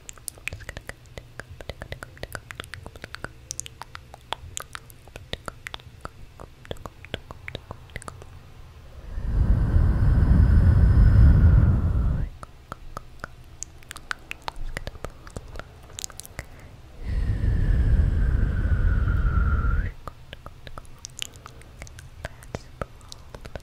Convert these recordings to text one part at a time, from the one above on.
Let's pull,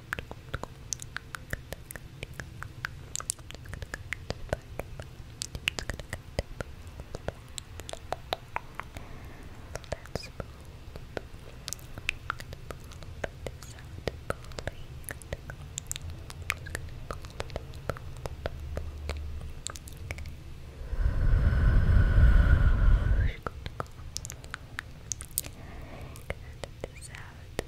this out.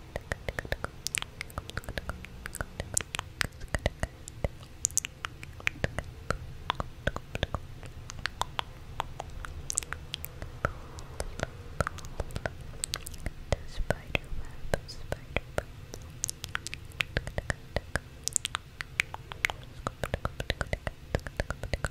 spider web, spider web. Spider web,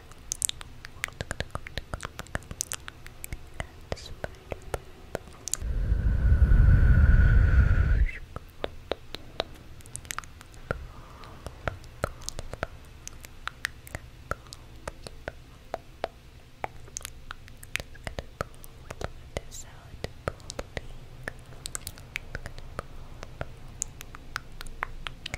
this out. Pulling.